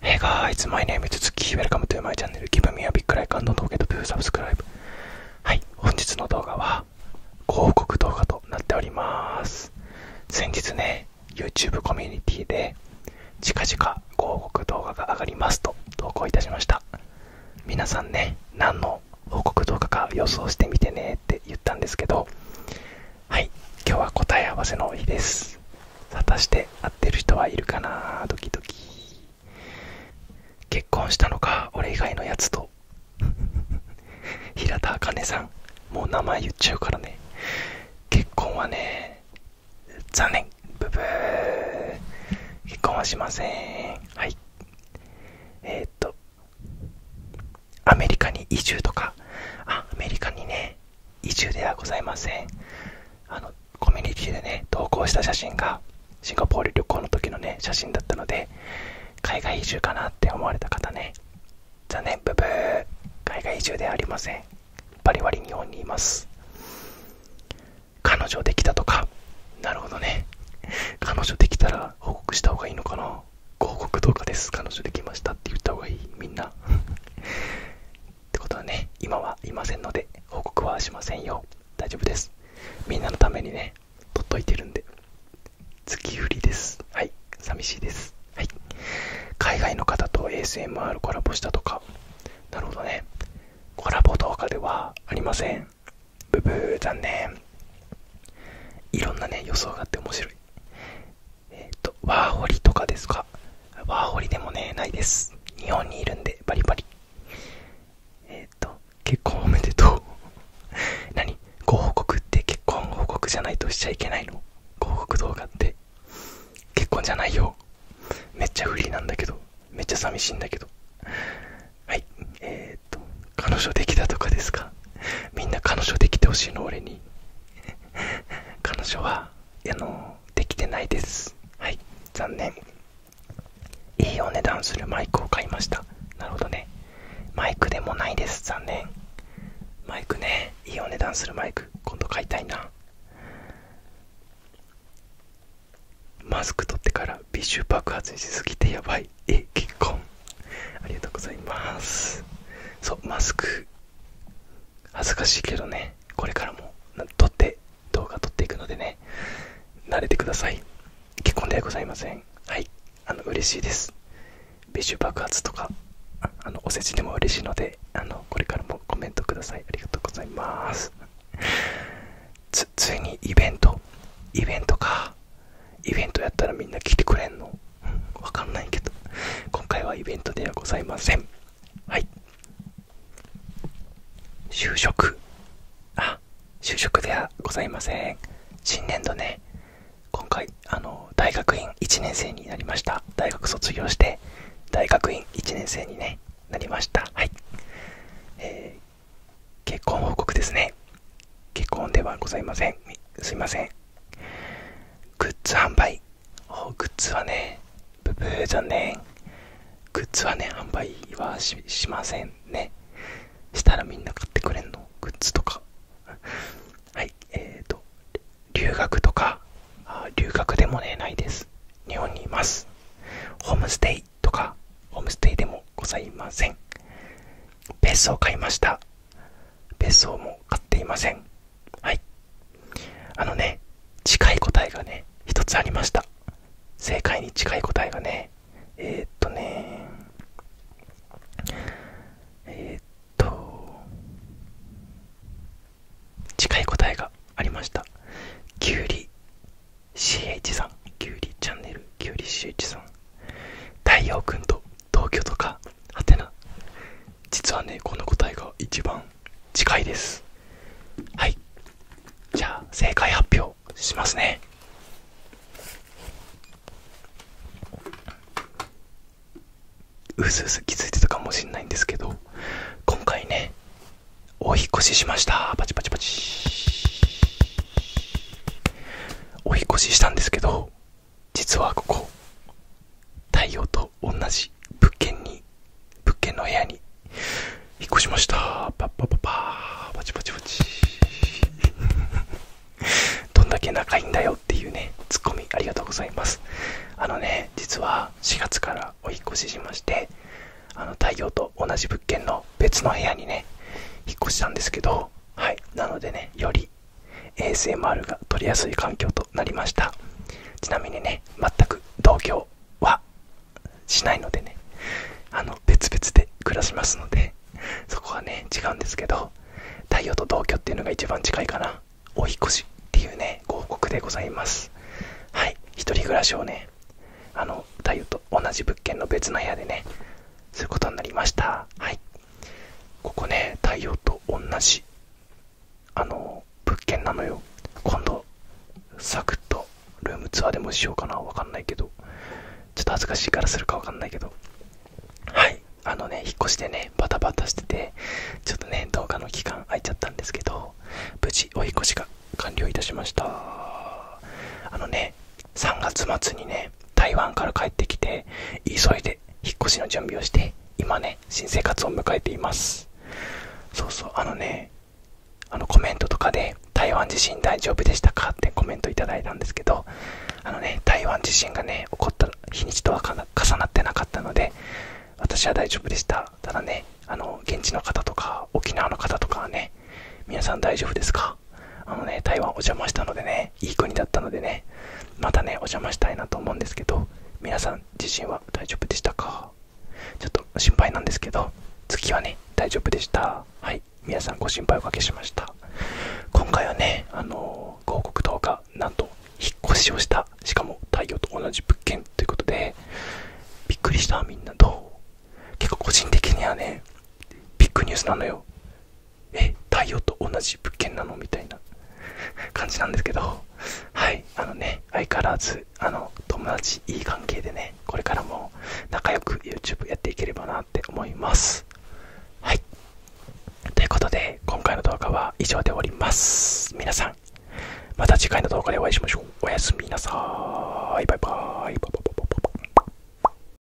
Hey guys, my name is Tsuki. Welcome to my channel. Give me a big like and don't forget to subscribe. はい、本日の動画は広告動画となっております。先日ね、YouTube コミュニティで近々広告動画が上がりますと投稿いたしました。皆さんね、何の広告動画か予想してみてねって言ったんですけど、はい今日は答え合わせの日です果たして合ってる人はいるかなドキドキ結婚したのか俺以外のやつと 平田茜さんもう名前言っちゃうからね結婚はね残念ブブー結婚はしませんはいえっとアメリカに移住とかあアメリカにね移住ではございませんあのコミュニティでね投稿した写真がシンガポール旅行の時のね写真だったので海外移住かなって思われた方ね残念ブブ海外移住ではありませんバリバリ日本にいます彼女できたとかなるほどね彼女できたら報告した方がいいのかなご報告動画です彼女できましたって言った方がいいみんなってことはね、今はいませんので、報告はしませんよ。大丈夫です。みんなのためにね、取っといてるんで。月売りです。はい、寂しいです。はい。海外の方と ASMR コラボしたとか。なるほどね。コラボ動画ではありません。ブブー、残念。いろんなね、予想があって面白い。えっ、と、ワーホリとかですかワーホリでもね、ないです。日本にいるんで、バリバリ。えっ、と、結婚おめでとう。何ご報告って結婚報告じゃないとしちゃいけないのご報告動画って。結婚じゃないよ。めっちゃ不利なんだけど。めっちゃ寂しいんだけど。はい。えっ、と、彼女できたとかですかみんな彼女できてほしいの、俺に。彼女はあのできてないですはい残念いいお値段するマイクを買いましたなるほどねマイクでもないです残念マイクねいいお値段するマイク今度買いたいなマスク取ってから微臭爆発しすぎてやばいえ結婚ありがとうございますそうマスク恥ずかしいけどねこれからも撮って動画撮っていくのでね慣れてください結婚ではございませんはいあの嬉しいです美酒爆発とかあのお世辞でも嬉しいのであのこれからもコメントくださいありがとうございますつついにイベントイベントかイベントやったらみんな来てくれんのわかんないけど、今回はイベントではございません。はい。就職。あ、就職ではございません。新年度ね、今回、あの、大学院1年生になりました。大学卒業して、大学院1年生に、ね、なりました。はい。え結婚報告ですね。結婚ではございません。すいません。グッズ販売おグッズはねブブー残念グッズはね販売はしませんねしたらみんな買ってくれんのグッズとか はいえーと留学とか留学でもねないです日本にいますホームステイとかホームステイでもございませんペースを買いました別荘も買っていませんはいあのね近い答えがね一つありました正解に近い答えがねえっとねえっと近い答えがありましたきゅうり CH さんきゅうりチャンネルきゅうり CH さん太陽君と東京とかはてな実はねこの答えが一番近いですはいじゃあ正解発表しますねうすうす気づいてたかもしれないんですけど今回ねお引越ししましたパチパチパチお引越ししたんですけど実はここ太陽と同じ物件に物件の部屋に引っ越しましたパッパパパーパチパチパチどんだけ仲いいんだよっていうねツッコミありがとうございますあのね実は4月からお引っ越ししましてあの太陽と同じ物件の別の部屋にね引っ越したんですけどはいなのでねより ASMR が撮りやすい環境となりましたちなみにね全く同居はしないのでねあの別々で暮らしますのでそこはね違うんですけど太陽と同居っていうのが一番近いかなお引越しっていうねご報告でございますはい1人暮らしをねあの太陽と同じ物件の別の部屋でねすることになりましたはいここね太陽と同じあの物件なのよ今度サクッとルームツアーでもしようかなわかんないけどちょっと恥ずかしいからするかわかんないけどはいあのね引っ越しでねバタバタしててちょっとね動画の期間空いちゃったんですけど無事お引越しが完了いたしましたあのね3月末にね台湾から帰ってきて急いで引っ越しの準備をして今ね新生活を迎えていますそうそうあのねあのコメントとかで台湾地震大丈夫でしたかってコメントいただいたんですけどあのね台湾地震がね起こった日にちとは重なってなかったので私は大丈夫でしたただねあの現地の方とか沖縄の方とかはね皆さん大丈夫ですかあのね台湾お邪魔したのでねいい国だったのでねまたねお邪魔したいなと思うんですけど皆さん自身は大丈夫でしたかちょっと心配なんですけど次はね大丈夫でしたはい皆さんご心配おかけしました今回はねあの広告動画なんと引っ越しをしたしかも太陽と同じ物件ということでびっくりしたみんなと結構個人的にはねビッグニュースなのよえ太陽と同じ物件なのみたいな感じなんですけどはいあのね相変わらずあの友達いい関係でねこれからも仲良く YouTube やっていければなって思いますはいということで今回の動画は以上で終わります皆さんまた次回の動画でお会いしましょうおやすみなさーいバイバーバイバイ